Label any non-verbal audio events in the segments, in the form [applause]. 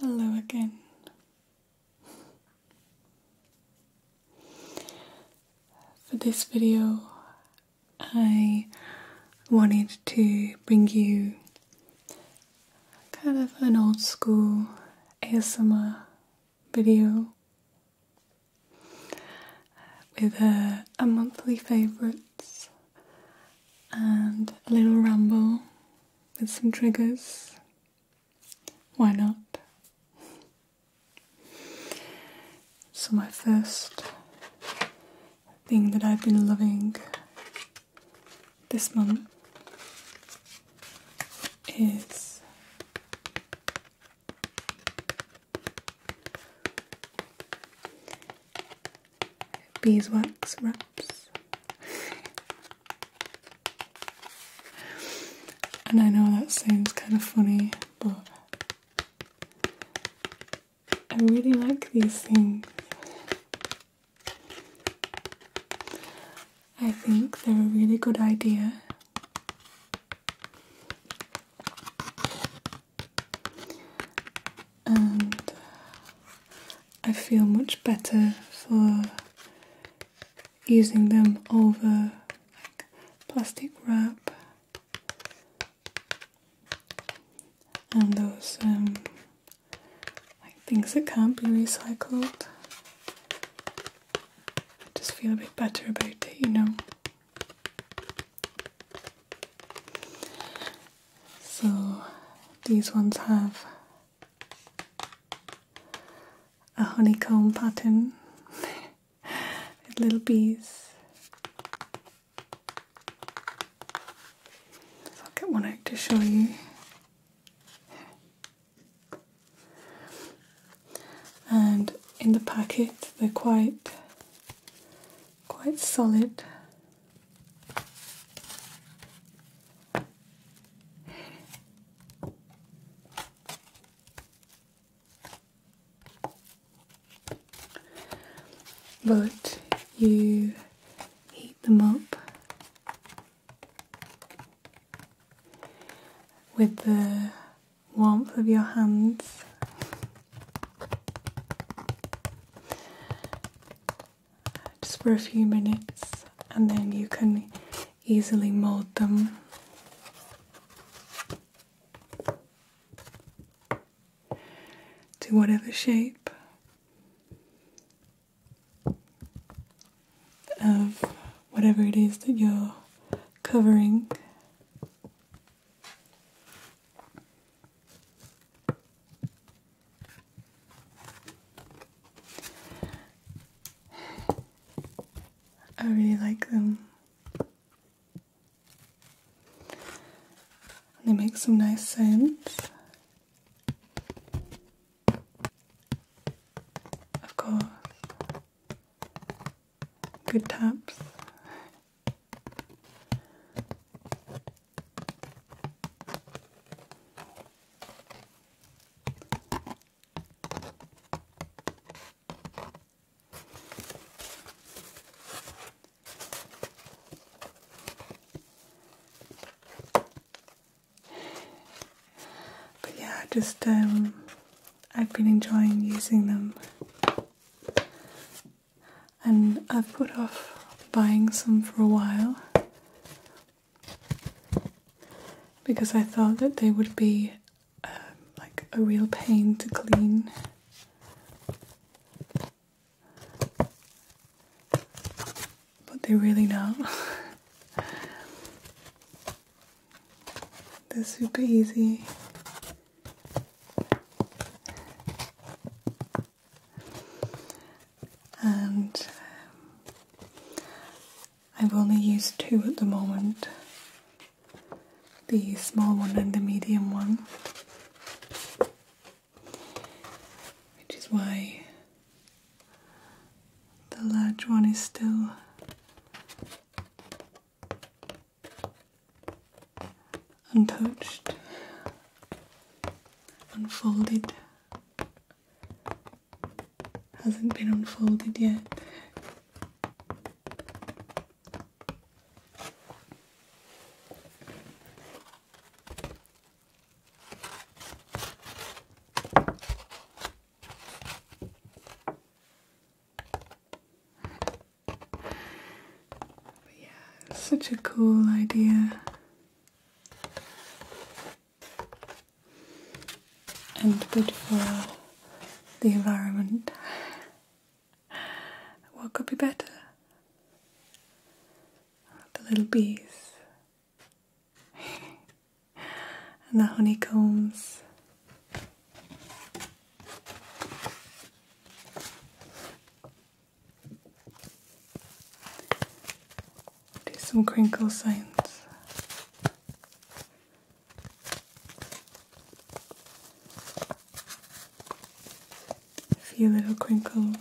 Hello again. For this video, I wanted to bring you kind of an old school ASMR video with uh, a, monthly favourites and a little ramble with some triggers. Why not? So, my first thing that I've been loving this month is beeswax wraps. and I know that sounds kind of funny, but I really like these things. I think they're a really good idea. And I feel much better for using them over plastic wrap and those um, like things that can't be recycled. I just feel a bit better about it, you know. So these ones have a honeycomb pattern [laughs] with little bees. I'll get one out to show you. And in the packet, they're quite quite solid but you heat them up with the warmth of your hands just for a few minutes and then you can easily mold them. To whatever shape of whatever it is that you're covering. I really like them. They make some nice sounds. Of course, good taps. But yeah, I just um, I've been enjoying using them, and I've put off buying some for a while because I thought that they would be um, like a real pain to clean. But they really not. [laughs] They're super easy and um, I've only used two at the moment the small one and the medium one, which is why the large one is still. Untouched, unfolded, hasn't been unfolded yet. yeah, such a cool idea and good for the environment. What could be better? The little bees [laughs] and the honeycombs do some crinkle signs. A few little crinkles.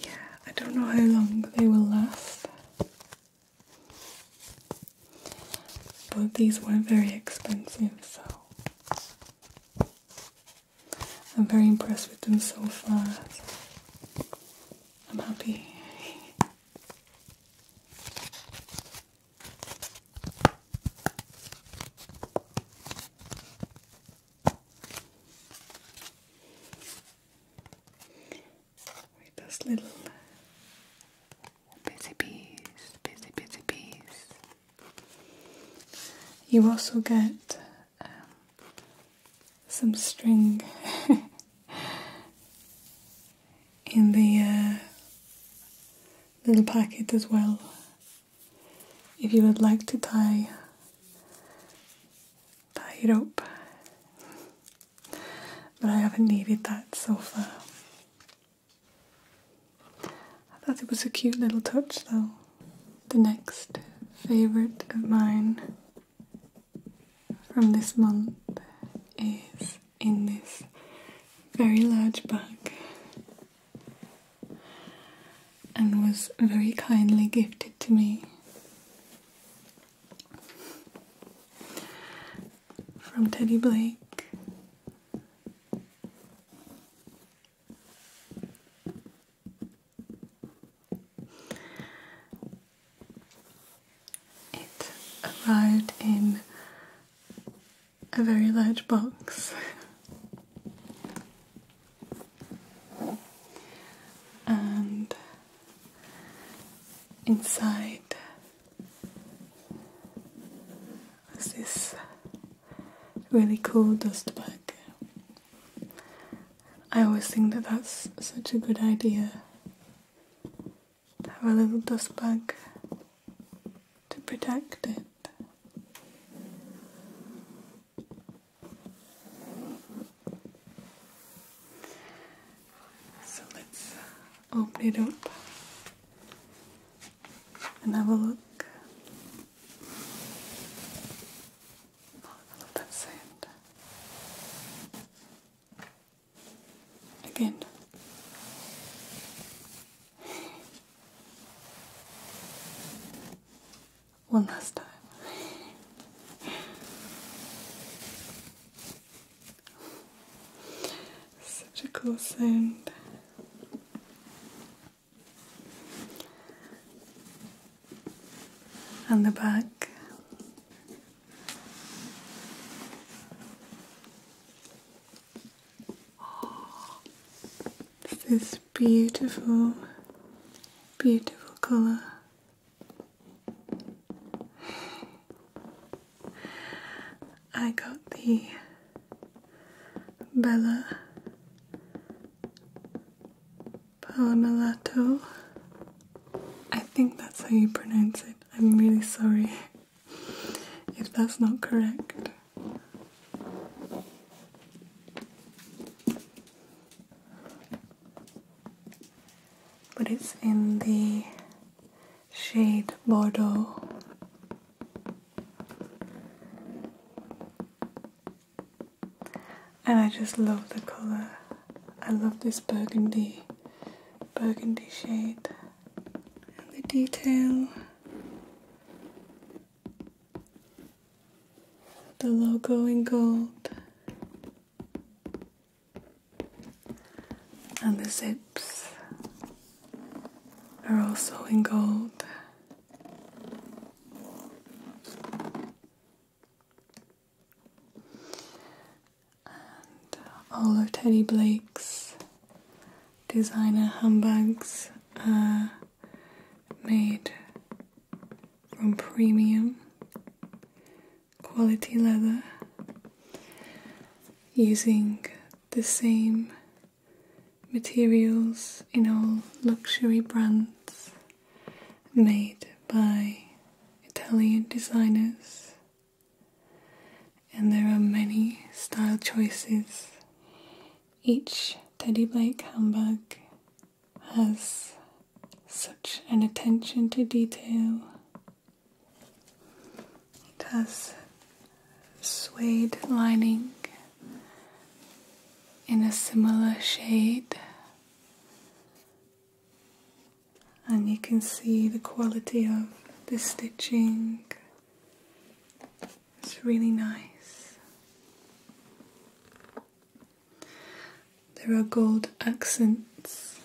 yeah, I don't know how long they will last. But these were very expensive, so I'm very impressed with them so far. I'm happy. with [laughs] this little busy bees, busy, busy bees. You also get um, some string [laughs] in the uh, little packet as well. If you would like to tie, tie it up. But I haven't needed that so far. I thought it was a cute little touch, though. The next favorite of mine from this month is in this very large bag and was very kindly gifted to me from Teddy Blake it arrived in a very large box. [laughs] and inside this really cool dust bag. I always think that that's such a good idea have a little dust bag to protect it. So let's open it up and have a look. Oh, I that sound. Again. [laughs] One last time. [laughs] Such a cool sound. And the back. this beautiful, beautiful color. I got the Bella Palmalato. I think that's how you pronounce it. I'm really sorry [laughs] if that's not correct. But it's in the shade Bordeaux. And I just love the color. I love this burgundy, burgundy shade and the detail. The logo in gold and the zips are also in gold. all of Teddy Blake's designer handbags are made from premium quality leather using the same materials in all luxury brands made by Italian designers, and there are many style choices. Each Teddy Blake handbag has such an attention to detail. It has suede lining in a similar shade. And you can see the quality of the stitching. It's really nice. There are gold accents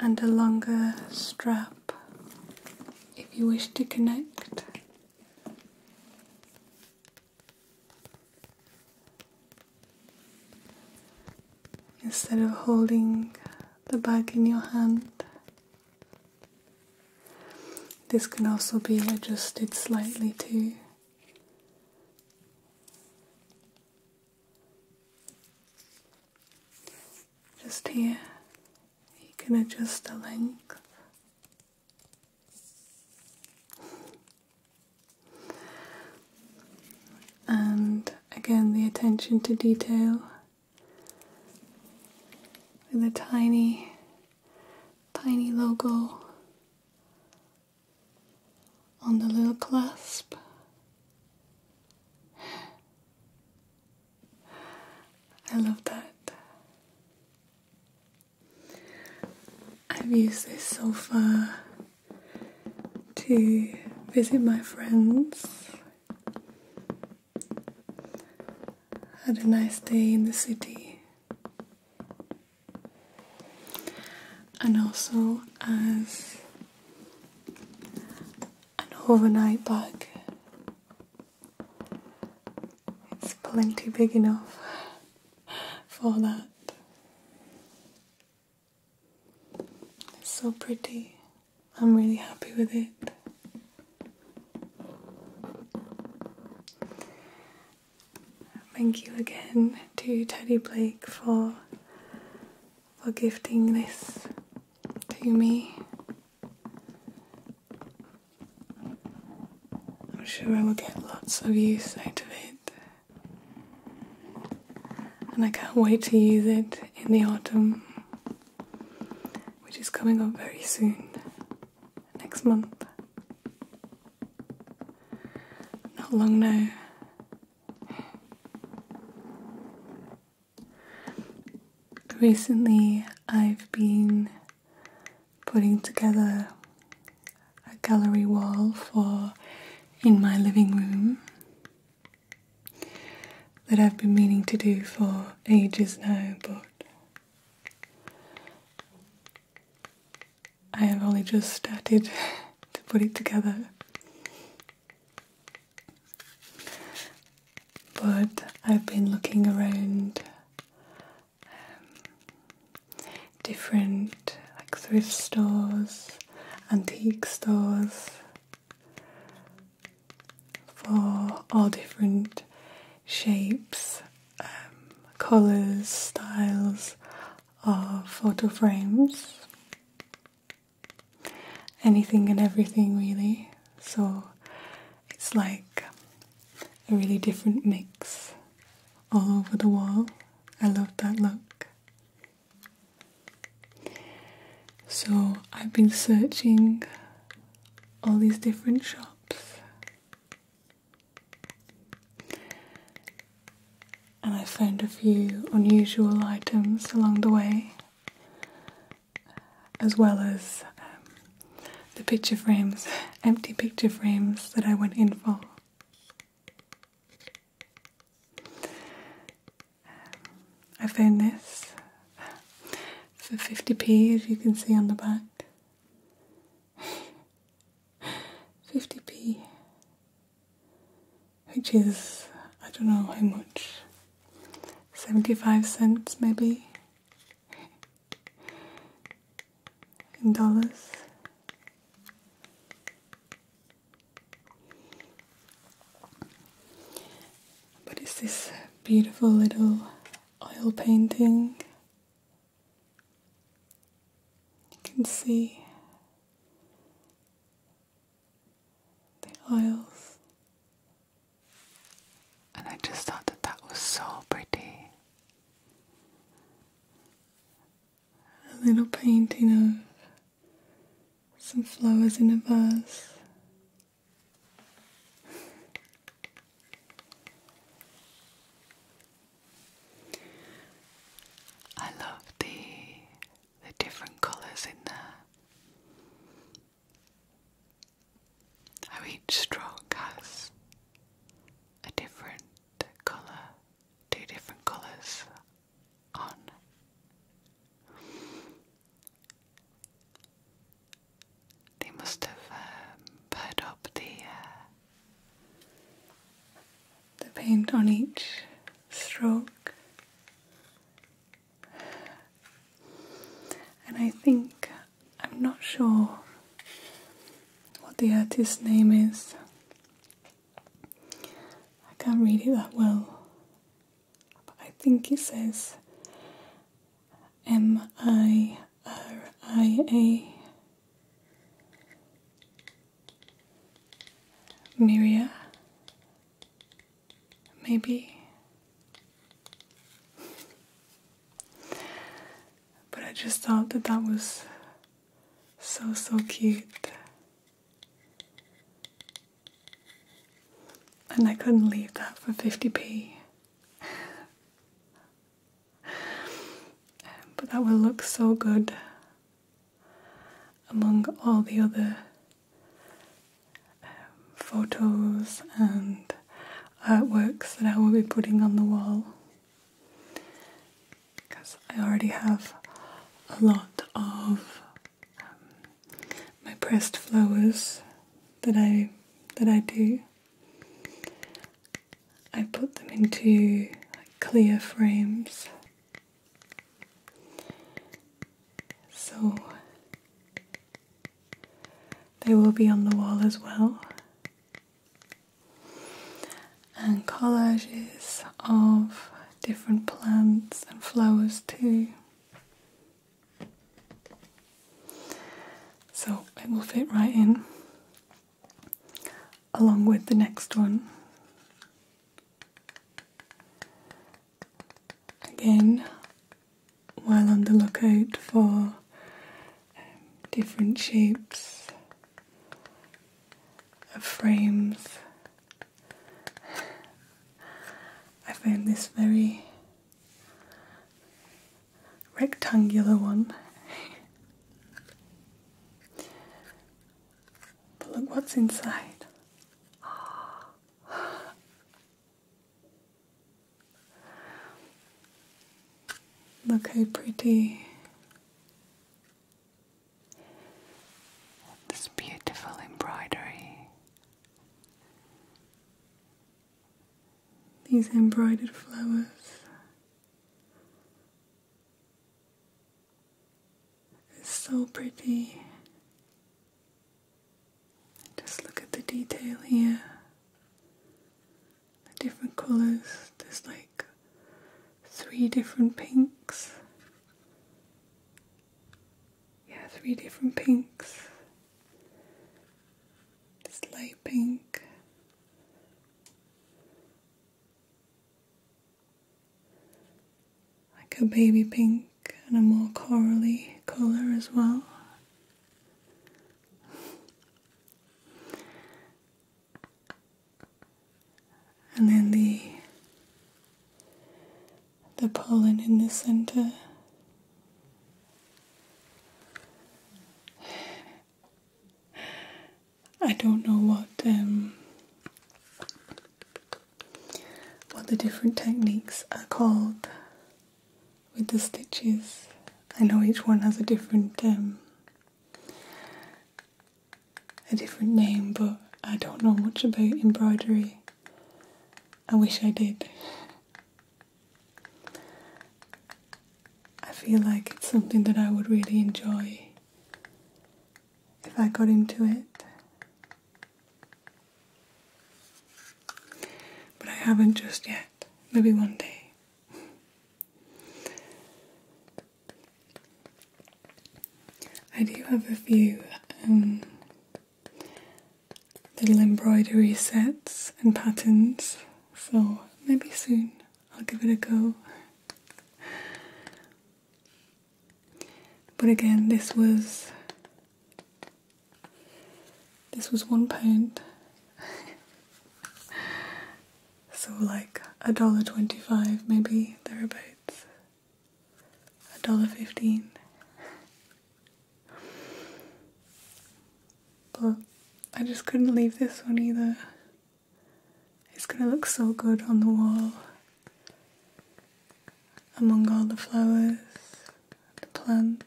and a longer strap if you wish to connect. Instead of holding the bag in your hand, this can also be adjusted slightly too. Just here, you can adjust the length. And again, the attention to detail with a tiny, tiny logo on the little clasp. I love that. I've used this sofa to visit my friends. Had a nice day in the city. And also as an overnight bag it's plenty big enough for that. It's so pretty. I'm really happy with it. Thank you again to Teddy Blake for for gifting this to me. I'm sure I will get lots of use out of it. And I can't wait to use it in the autumn, which is coming up very soon, next month. Not long now. Recently, I've been putting together a gallery wall for in my living room that I've been meaning to do for ages now, but I have only just started [laughs] to put it together. But I've been looking around um, different like thrift stores, antique stores for all different shapes, um, colours, styles of photo frames. Anything and everything, really so it's like a really different mix all over the wall. I love that look. So I've been searching all these different shops and I found a few unusual items along the way as well as um, the picture frames, empty picture frames that I went in for. I found this for 50p, as you can see on the back. 50p, which is I don't know how much, 75 cents maybe. Gonzalez. But it's this beautiful little oil painting. You can see the oils and I just thought that that was so pretty. A little painting of some flowers in a vase. I love the the different colours in there. How each stroke has a different colour, two different colours on. They must have um, up the uh, the paint on each stroke and I think I'm not sure what the artist's name is. I can't read it that well. But I think he says M I R I A. Miria, maybe but I just thought that that was so, so cute. And I couldn't leave that for 50p. but that will look so good among all the other photos and artworks that I will be putting on the wall because I already have a lot of um, my pressed flowers that I that I do. I put them into clear frames. So they will be on the wall as well. And collages of different plants and flowers too. So it will fit right in along with the next one. Again, while on the lookout for um, different shapes of frames. I found this very rectangular one. [laughs] but look what's inside. [gasps] [gasps] Look how pretty this beautiful embroidery. These embroidered flowers. It's so pretty. Just look at the detail here. The different colours. There's like three different pinks. Yeah, three different pinks. This light pink. Like a baby pink and a more corally colour as well. And then the the pollen in the center. I don't know what um, what the different techniques are called with the stitches. I know each one has a different um, a different name, but I don't know much about embroidery. I wish I did. I feel like it's something that I would really enjoy if I got into it. But I haven't just yet. Maybe one day. I do have a few um, little embroidery sets and patterns, so maybe soon I'll give it a go. But again, this was this was one pound. [laughs] so like a dollar twenty five maybe thereabouts. A dollar fifteen. But I just couldn't leave this one either. It's gonna look so good on the wall among all the flowers, the plants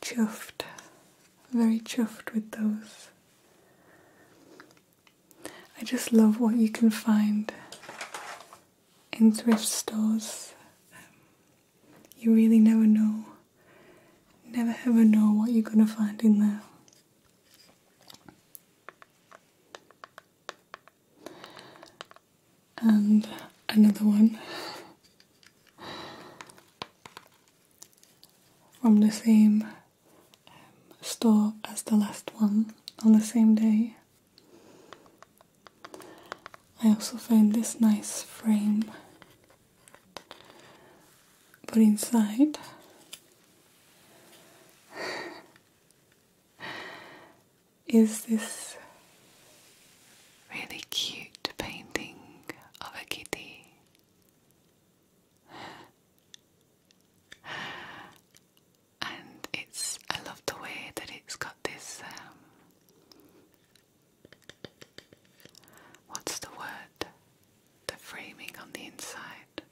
chuffed, very chuffed with those. I just love what you can find in thrift stores. you really never know, never ever know what you're gonna find in there and another one from the same um, store as the last one on the same day. I also found this nice frame, Put inside is this really cute painting of a kitty. And it's, I love the way that it's got this, um, what's the word? The framing on the inside.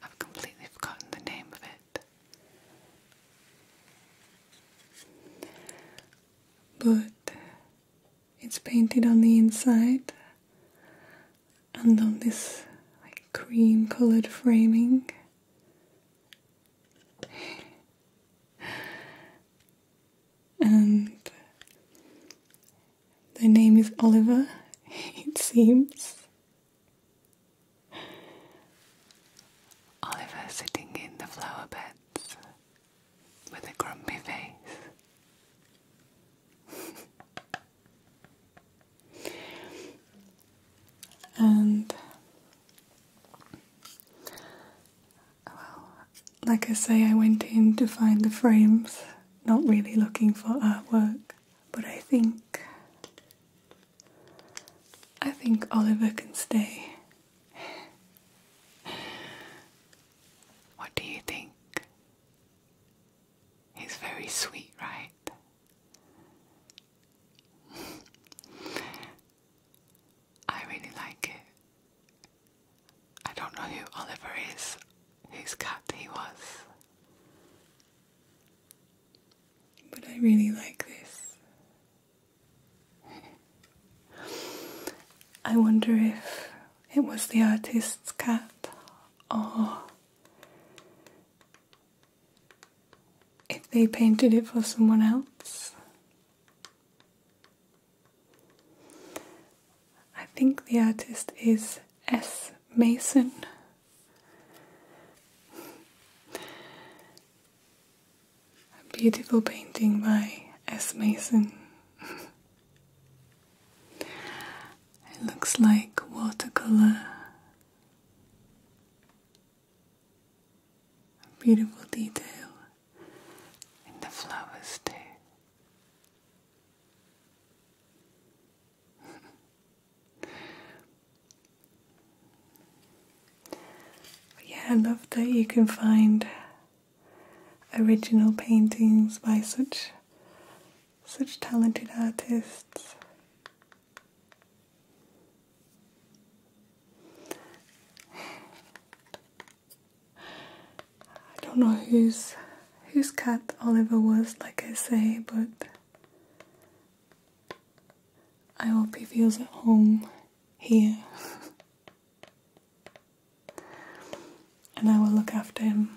I've completely forgotten the name of it. But it's painted on the inside and on this like cream colored framing. and the name is Oliver, [laughs] it seems. Oliver sitting in the flower beds with a grumpy face. and well, like I say, I went in to find the frames, not really looking for artwork, but I think I think Oliver can stay what do you think? He's very sweet, right? I really like it. I don't know who Oliver is, whose cat he was. But I really like this. I wonder if it was the artist's cat or if they painted it for someone else. I think the artist is S. Mason. A beautiful painting by S. Mason. [laughs] it looks like watercolor. beautiful detail in the flowers, too. [laughs] yeah, I love that you can find original paintings by such such talented artists. I don't know whose whose cat Oliver was, like I say, but I hope he feels at home here. and I will look after him.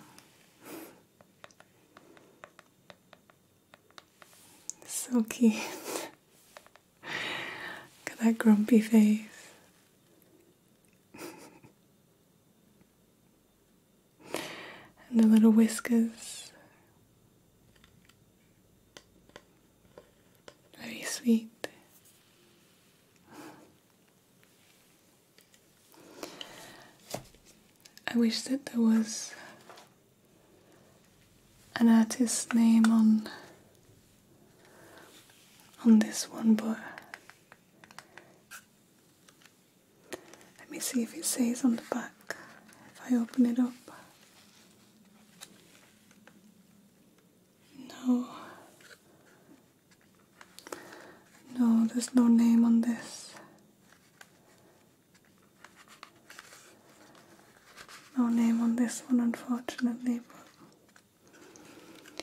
so cute. Look [laughs] at that grumpy face. [laughs] and the little whiskers. Very sweet. I wish that there was an artist's name on on this one, but let me see if it says on the back if I open it up. No. No, there's no name on this. No name on this one, unfortunately, but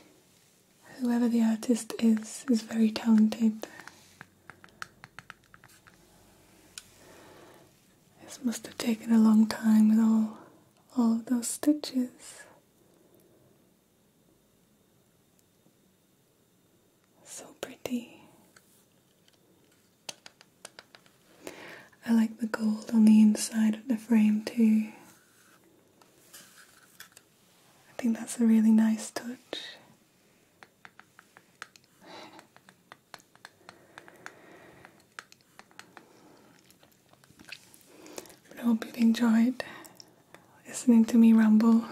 whoever the artist is, is very talented. This must have taken a long time with all all those stitches. So pretty. I like the gold on the inside of the frame too. I think that's a really nice touch. I hope you have enjoyed listening to me ramble.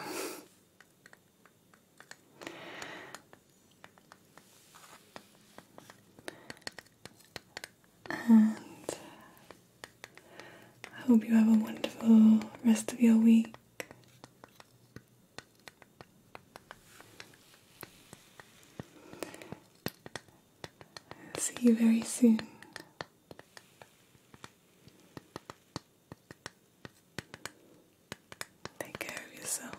and I hope you have a wonderful rest of your week. See you very soon. Take care of yourself.